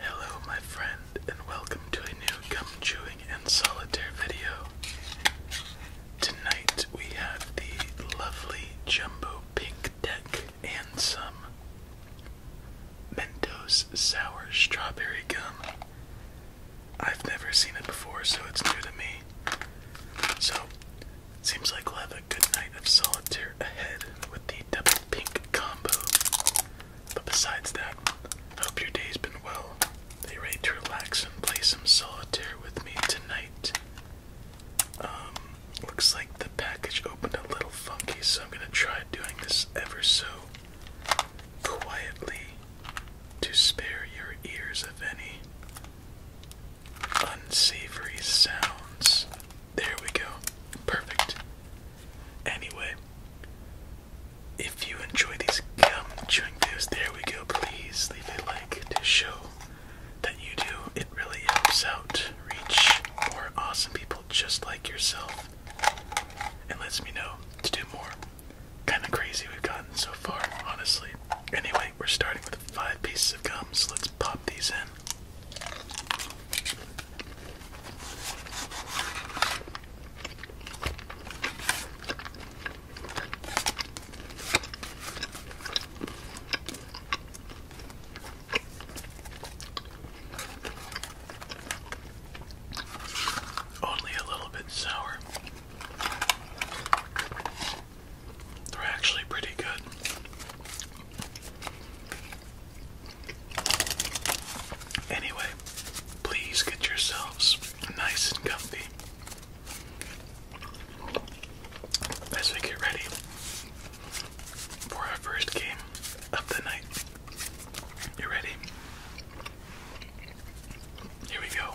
Hello, my friend, and welcome to a new gum chewing and solitaire video. Tonight we have the lovely Jumbo Pink Deck and some Mentos Sour Strawberry Gum. I've never seen it before, so it's new to me. So, Seems like we'll have a good night of solitaire ahead with the double pink combo. But besides that, hope your day's been well. Are ready to relax and play some solitaire with me tonight? Um, looks like the package opened a little funky, so I'm gonna try doing this ever so quietly to spare your ears of any unsavory sounds. There we go. Perfect. Anyway, if you enjoy these gum chewing videos, there we go. Please leave a like to show that you do. It really helps out reach more awesome people just like yourself and lets me know to do more. Kind of crazy we've gotten so far, honestly. Anyway, we're starting with five pieces of gum, so let's pop these in. Only a little bit sour. They're actually pretty good. Anyway, please get yourselves nice and comfy as we get ready for our first game of the night. You ready? Here we go.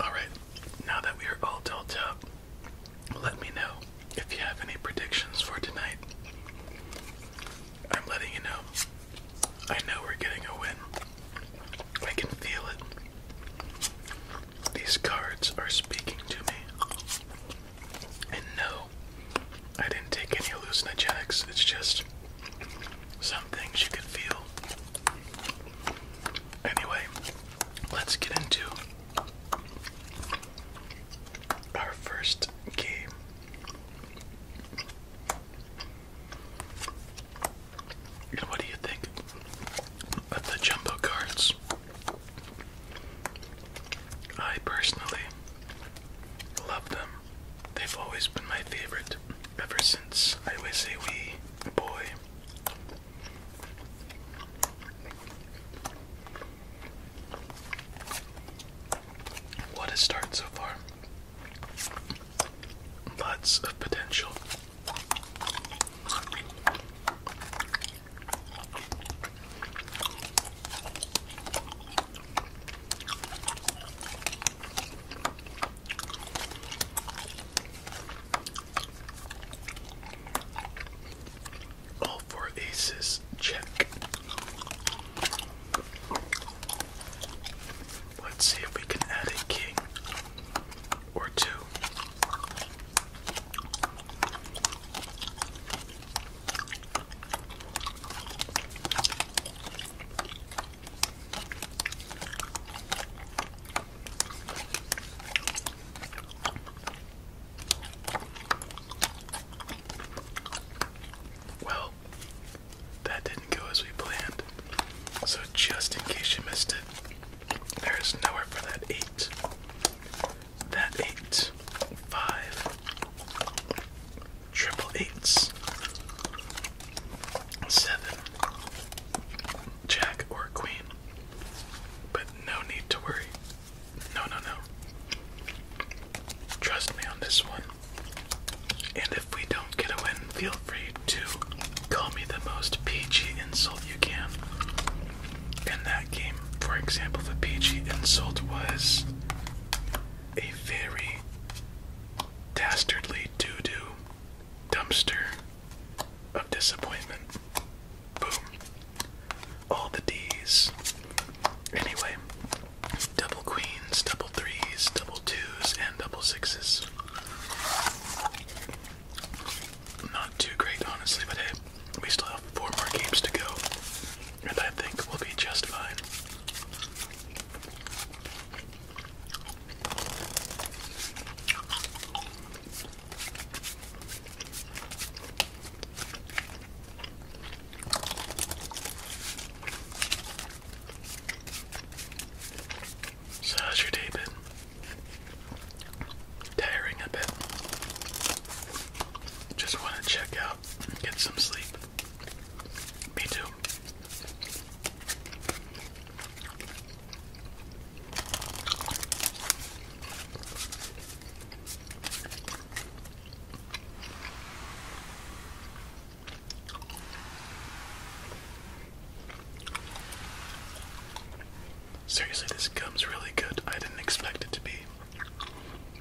Alright, now that we are all dealt up, let me know if you have any predictions for tonight. I'm letting you know. I know we're getting a win. I can feel it. These cards are speaking to me. And no, I didn't take any hallucinogens. It's just some things you can feel. Anyway, let's get into our first game. what do you think of the jumbo cards? I personally love them. They've always been my favorite ever since I always say, "We, boy. What a start so far. Lots of potential. All four aces check. Let's see if we can add a king or two. Well, that didn't go as we planned. So, just in case you missed it, there is nowhere for that 8. That 8, 5, triple eights, seven, jack or queen. But no need to worry. No, no, no. Trust me on this one. And if we don't get a win, feel free to call me the most PG insult you can. In that game, for example, the PG insult was a very dastardly doo doo dumpster of disappointment. Boom. All the D's. Anyway, double queens, double threes, double twos, and double sixes. Not too great, honestly, but we still have four more games to go, and I think we'll be just so how's your day been? Tiring a bit. Just want to check out and get some sleep. Me too. Seriously, this gum's really good. I didn't expect it to be.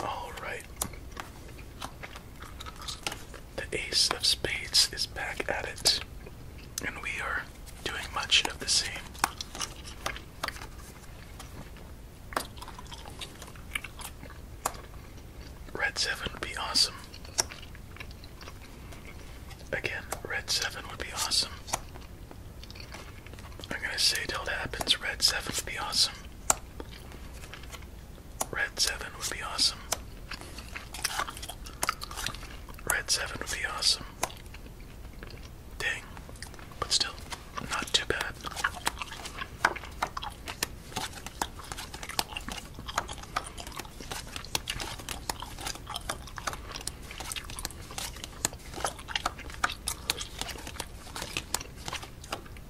All right. The Ace of Spades is back at it, and we are doing much of the same. Red 7 would be awesome. Again, red 7 would be awesome. I'm gonna say till it happens, red 7 would be awesome. Red 7 would be awesome. Red 7 would be awesome. Dang. But still, not too bad.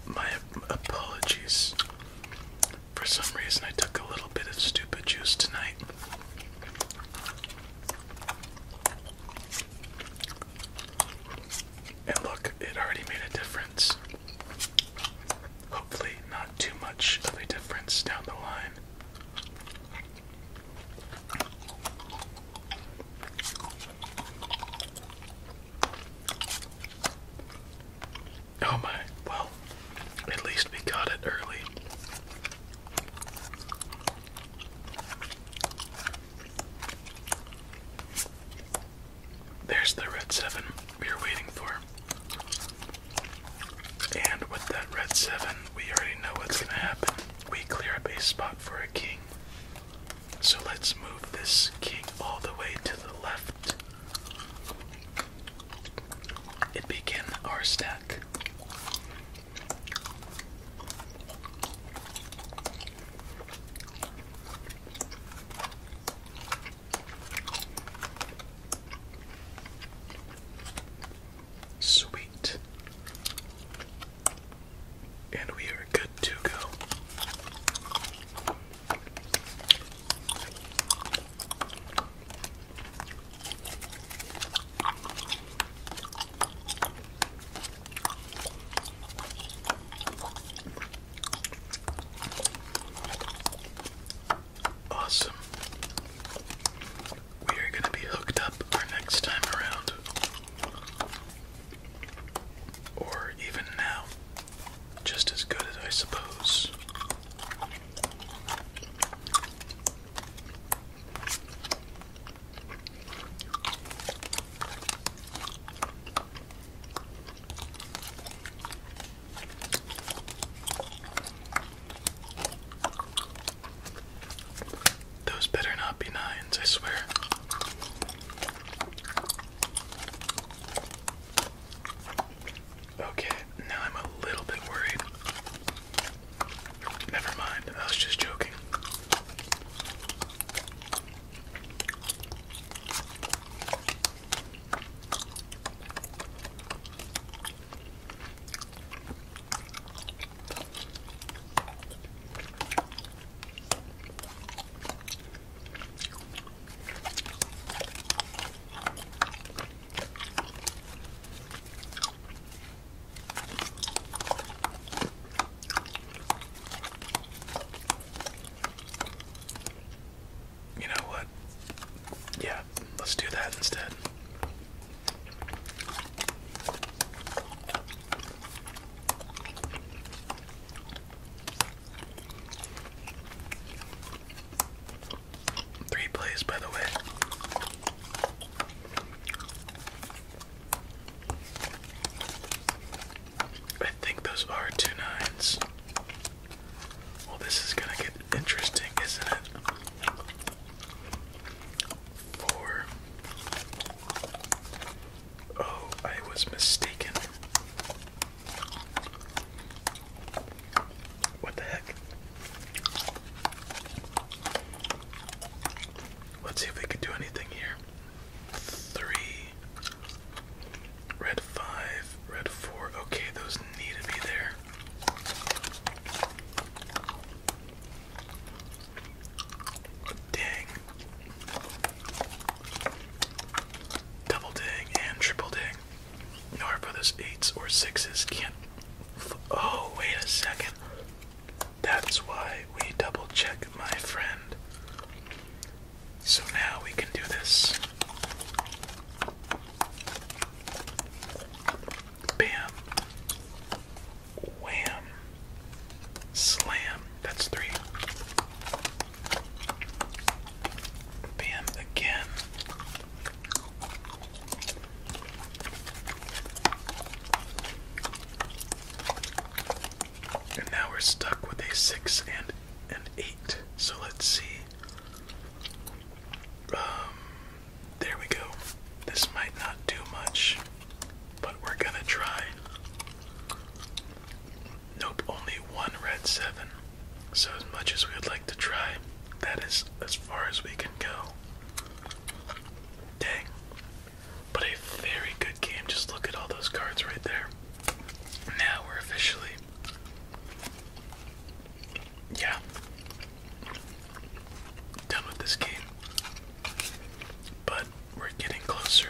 My apologies. For some reason, I took a little bit of stupid juice tonight. And look, it already made a difference. Hopefully, not too much of a difference down the line. Oh my, well, at least we got it early. There's the red seven we were waiting for. And with that red 7, we already know what's going to happen. We clear up a spot for a king. So let's move this king all the way to the left. It began our stack. Sweet. And we are good to go. Awesome we are going to be hooked up for next time around. Or even now. Just as good as I suppose. Those better not be nines, I swear. Okay, now I'm a little bit worried. Never mind, I was just joking. You know what? Yeah, let's do that instead. Three plays, by the way. I think those are two nines. Well, this is gonna get interesting, isn't it? four. Oh, I was mistaken. What the heck? Let's see if we can do anything here. Three, red five, red four. Okay, those need to be there. Dang. Double ding and triple ding. In order for eights or sixes can't. Oh, wait a second. That's why we double check, my friend. So now we can do this. Bam. Wham. Slam. That's three. Bam again. And now we're stuck with a six and an eight. So let's see. Um, there we go. This might not do much, but we're gonna try. Nope, only one red seven. So as much as we would like to try, that is as far as we can go. Dang. But a very good game. Just look at all those cards right there. Now we're officially. Yeah, done with this game. But we're getting closer.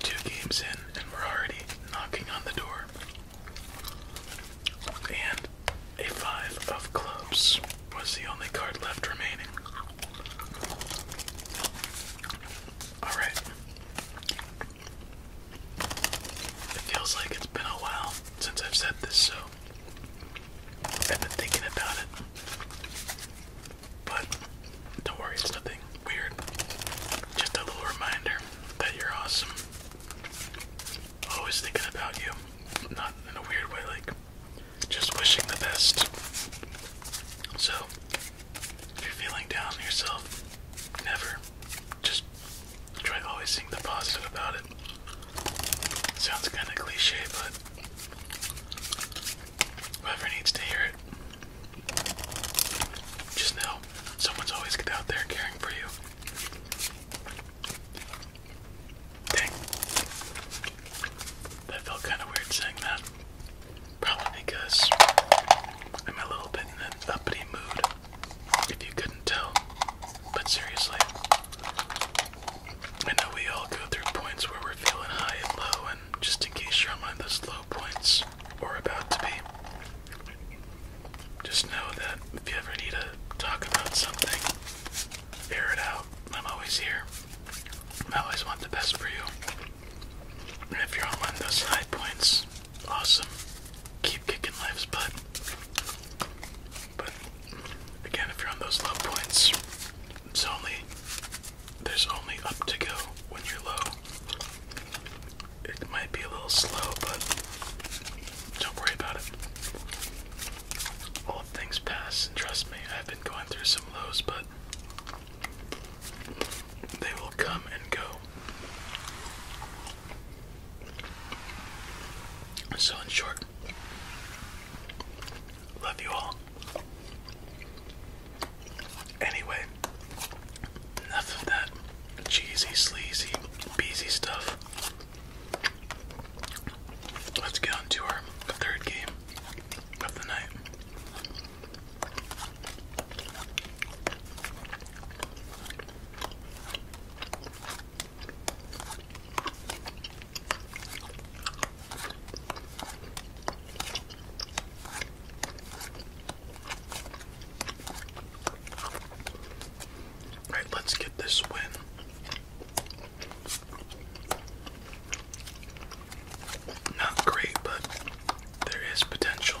Two games in, and we're already knocking on the door. And a five of clubs was the only card left remaining. Alright. It feels like it's been a while since I've said this, so I've been thinking about it. But don't worry, it's nothing weird. Just a little reminder that you're awesome. Always thinking about you. Not in a weird way, like just wishing the best. So, if you're feeling down yourself, never. Just try always seeing the positive about it. Sounds kind of cliche, but whoever needs to hear it, just know someone's always out there caring for you. Dang. That felt kind of weird saying that. Probably because I'm a little bit in an uppity mood, if you couldn't tell. But seriously, I know we all go through points where we're feeling high and low, and just in case you're on one of those low points or about to be, just know that if you ever need to talk about something, air it out. I'm always here. I always want the best for you. And if you're on one of those high points, awesome. Keep kicking life's butt. But again, if you're on those low points, it's only there's only up to go when you're low. It might be a little slow, but don't worry about it. All things pass, and trust me, I've been going through some lows, but they will come and go. So, in short, Love you all. Anyway, enough of that cheesy, sleazy, beezy stuff. Let's get on our third game of the night. All right, let's get this win. Not great, but there is potential.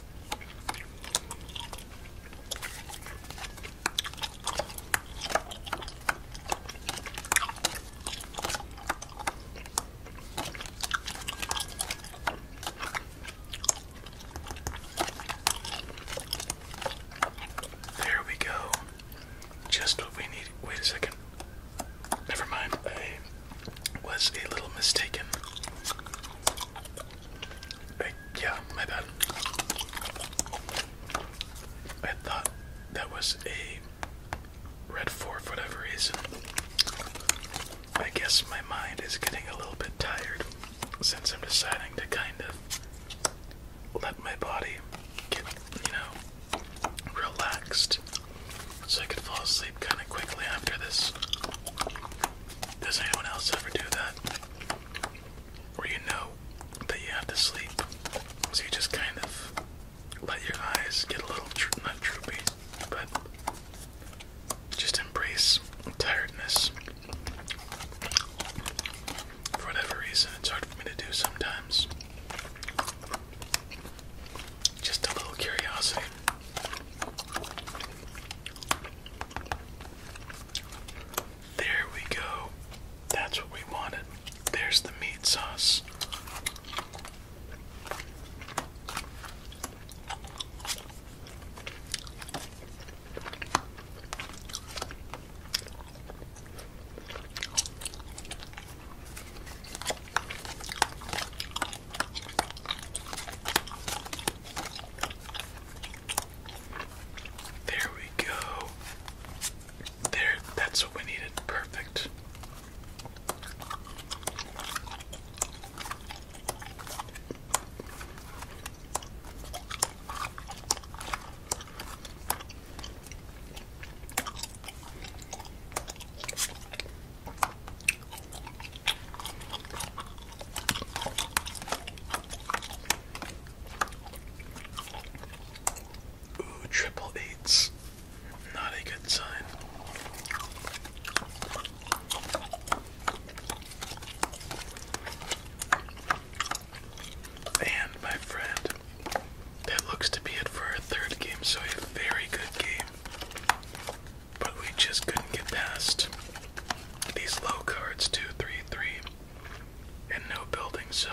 There we go. Just what we need. Wait a second. Never mind was a little mistaken. yeah, my bad. I thought that was a red 4 for whatever reason. I guess my mind is getting a little bit tired since I'm deciding to kind of let my body get, you know, relaxed so I could fall asleep kind of quickly after this. Does anyone else ever do that? Where you know that you have to sleep, so you just kind of let your eyes get a little not droopy, but just embrace tiredness. For whatever reason, it's hard for me to do sometimes. Just a little curiosity. There we go. That's what we wanted. There's the meat sauce. There we go. There, that's what we needed. Perfect. Ooh, triple eights. Not a good sign. And my friend, that looks to be it for our third game, so a very good game. But we just couldn't get past these low cards, two, three, three, and no building. So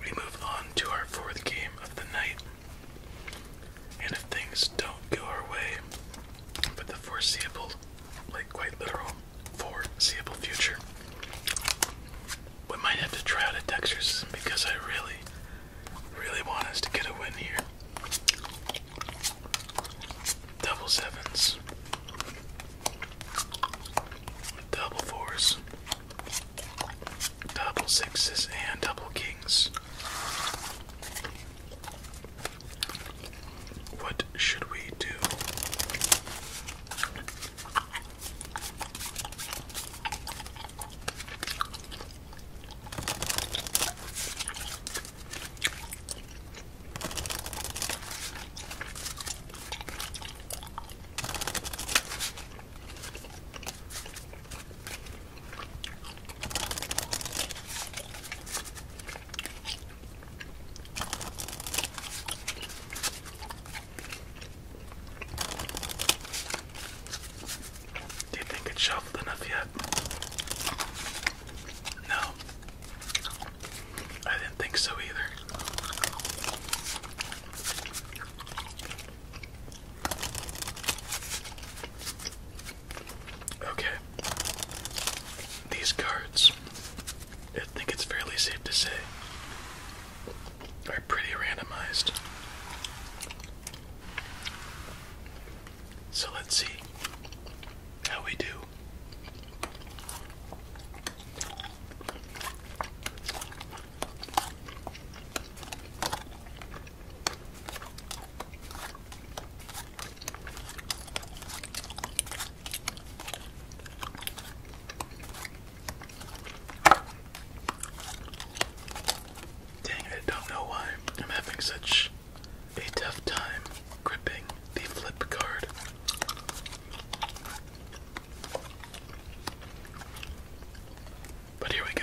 we move on to our fourth game of the night. And if things don't go our way for the foreseeable, like quite literal, foreseeable future, we might have to try out a texture because I really, really want us to get a win here double sevens, double fours, double sixes, and double kings. What should we do? Do you think it's shoveled enough yet? No, I didn't think so either. Okay, these cards, I think it's fairly safe to say, are pretty randomized. So let's see how we do. Dang, I don't know why I'm having such a tough time gripping the flip card. But here we go.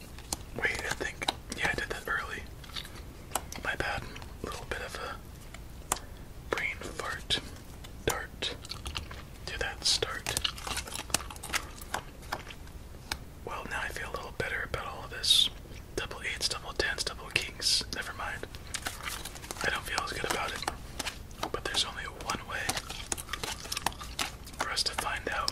Wait, I think. Yeah, I did that early. My bad. little bit of a brain fart. Dart. Do that start. Well, now I feel a little better about all of this. Double eights, double tens, double kings. Never mind. I don't feel as good about it. But there's only one way for us to find out.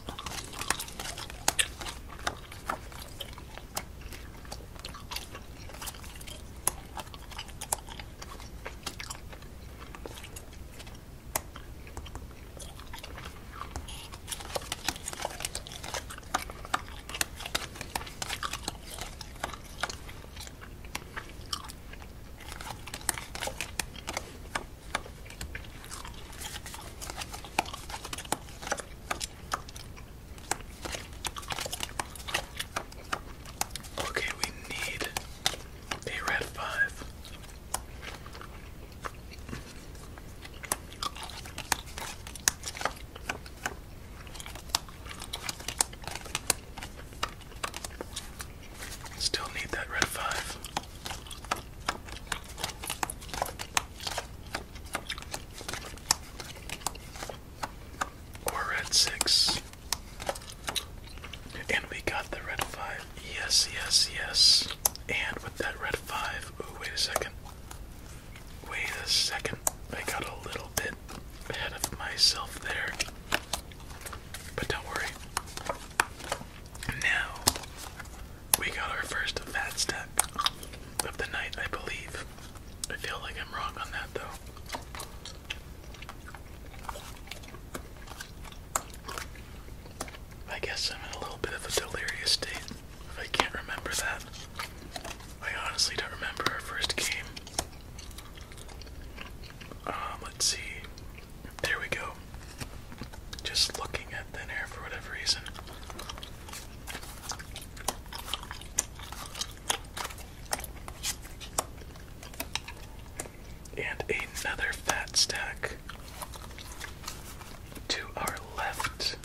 Okay, we need a red five. Still need that red five. Or red six. And we got the red five. Yes, yes, yes. And with that red five, oh wait a second. Wait a second. I got a little bit ahead of myself there. But don't worry. Now we got our first fat step of the night, I believe. I feel like I'm wrong on that though. I guess I'm in a little bit of a delirious state if I can't remember that. I honestly don't remember our first game. Um, let's see. There we go just looking at thin air for whatever reason. And another fat stack to our left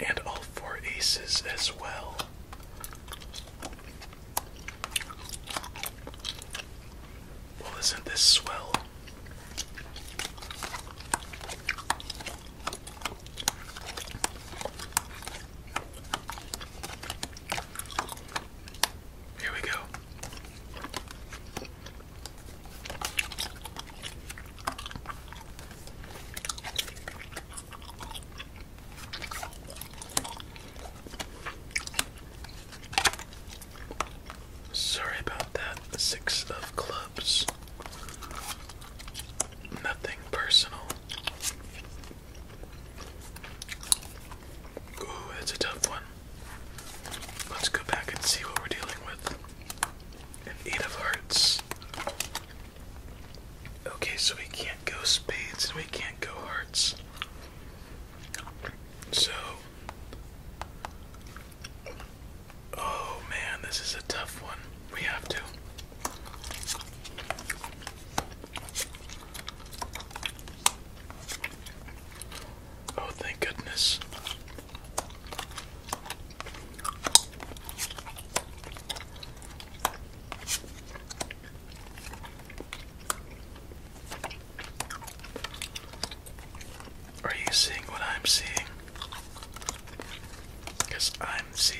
and all four aces as well. Well, isn't this swell? Here we go. Sorry about that. Six of clubs. Nothing personal. Ooh, that's a tough one. Let's go back and see what we're dealing with. eight of hearts. Okay, so we can't go spades and we can't go hearts. So. Oh man, this is a tough one. We have to. Oh, thank goodness. Are you seeing what I'm seeing? Because I'm seeing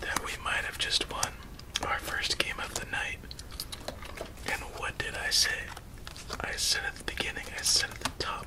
that we might have just won our first game of the night. And what did I say? I said at the beginning, I said at the top.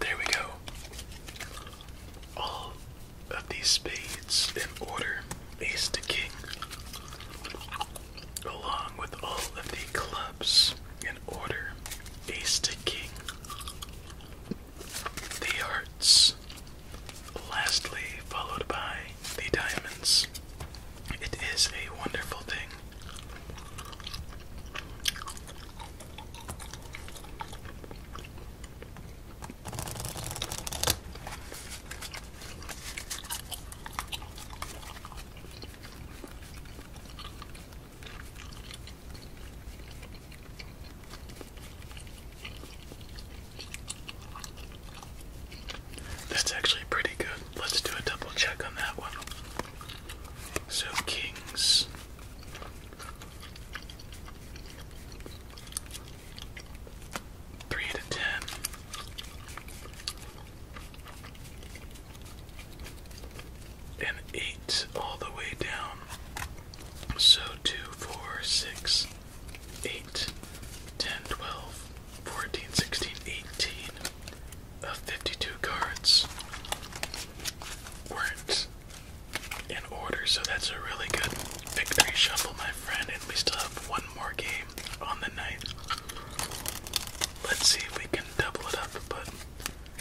There we go. All of these spades in order, ace to king, along with all of the clubs in order, ace to king, the hearts, lastly followed by the diamonds. It is a wonderful thing. That's actually pretty good. Let's do a double check on that one. So, kings. Three to ten. And eight all the way down. So two, four, six, eight, ten, twelve, 14, 16, 18 of uh, 52 cards weren't in order, so that's a really good victory shuffle, my friend. And we still have one more game on the night. Let's see if we can double it up, but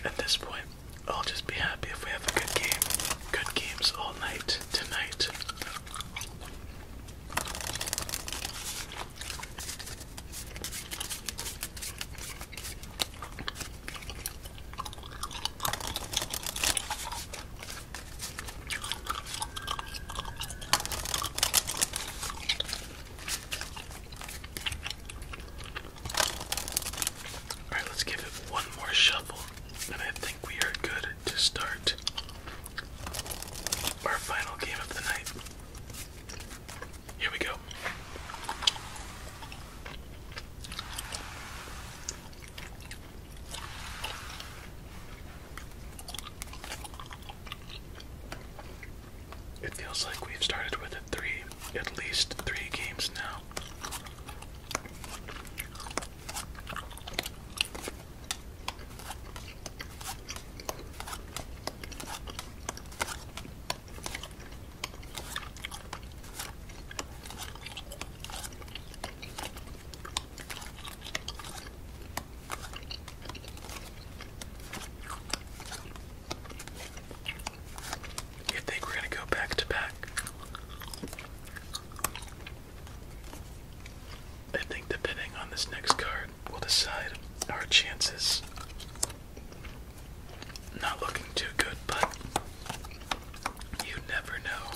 at this point, I'll just be happy if we have a good game. Good games all night tonight. Alright, let's give it one more shuffle, and I think we are good to start our final game of the night. Here we go. It feels like we've started with a three, at least three games now. You think we're going to go back to back? I think depending on this next card, we will decide our chances. Not looking too good, but you never know.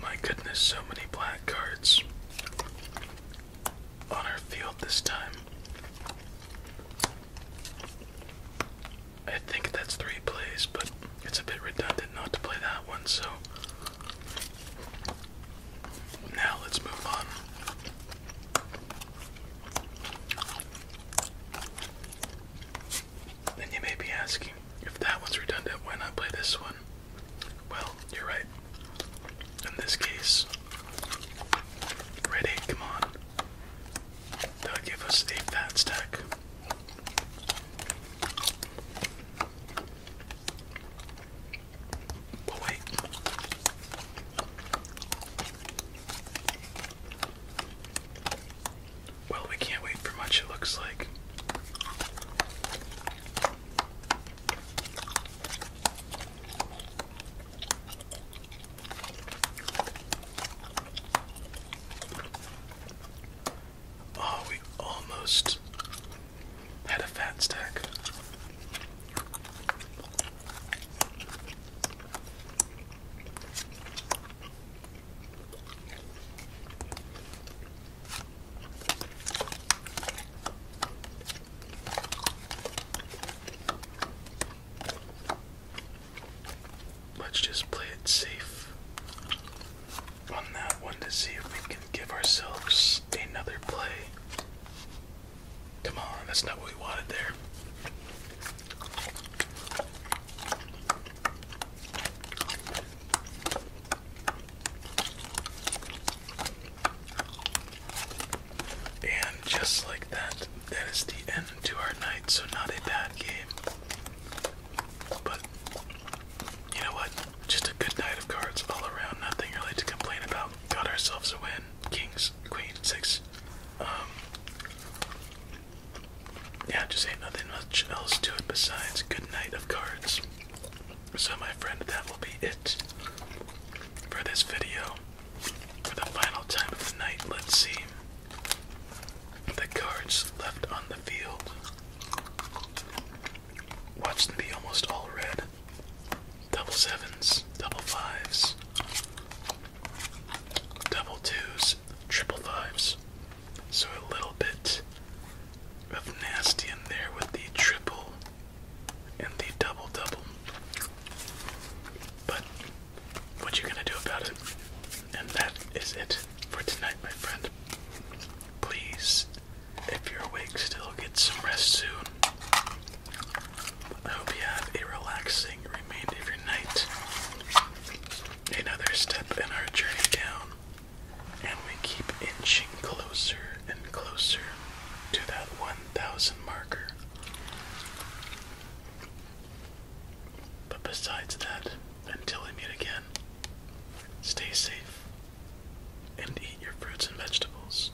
My goodness, so many black cards on our field this time. I think that's three plays, but it's a bit redundant not to play that one, so now let's move on. Then you may be asking, if that one's redundant, why not play this one? Well, you're right. In this case, red come on. That'll give us a fat stack. But oh, Well, we can't wait for much, it looks like. Oh, we almost had a fat stack. Let's just play it safe on that one to see if we can give ourselves another play. Come on, that's not what we wanted there. And just like that, that is the end to our night, so not a bad game. But you know what? Just a good night of cards all around. Nothing really to complain about. Got ourselves a win. Kings, Queen, six. Um, yeah, just ain't nothing much else to it besides good night of cards. So, my friend, that will be it for this video. For the final time of the night, let's see the cards left on the field. Watch them be almost all red. Double sevens, double fives, double twos, triple fives. So a little bit of nasty in there with the triple and the double double. But what you gonna do about it. And that is it for tonight, my friend. Please, if you're awake still, get some rest soon. I hope you have a relaxing remainder of your night. Another step in our journey down, and we keep inching closer and closer to that 1,000 marker. But besides that, until we meet again, stay safe and eat your fruits and vegetables.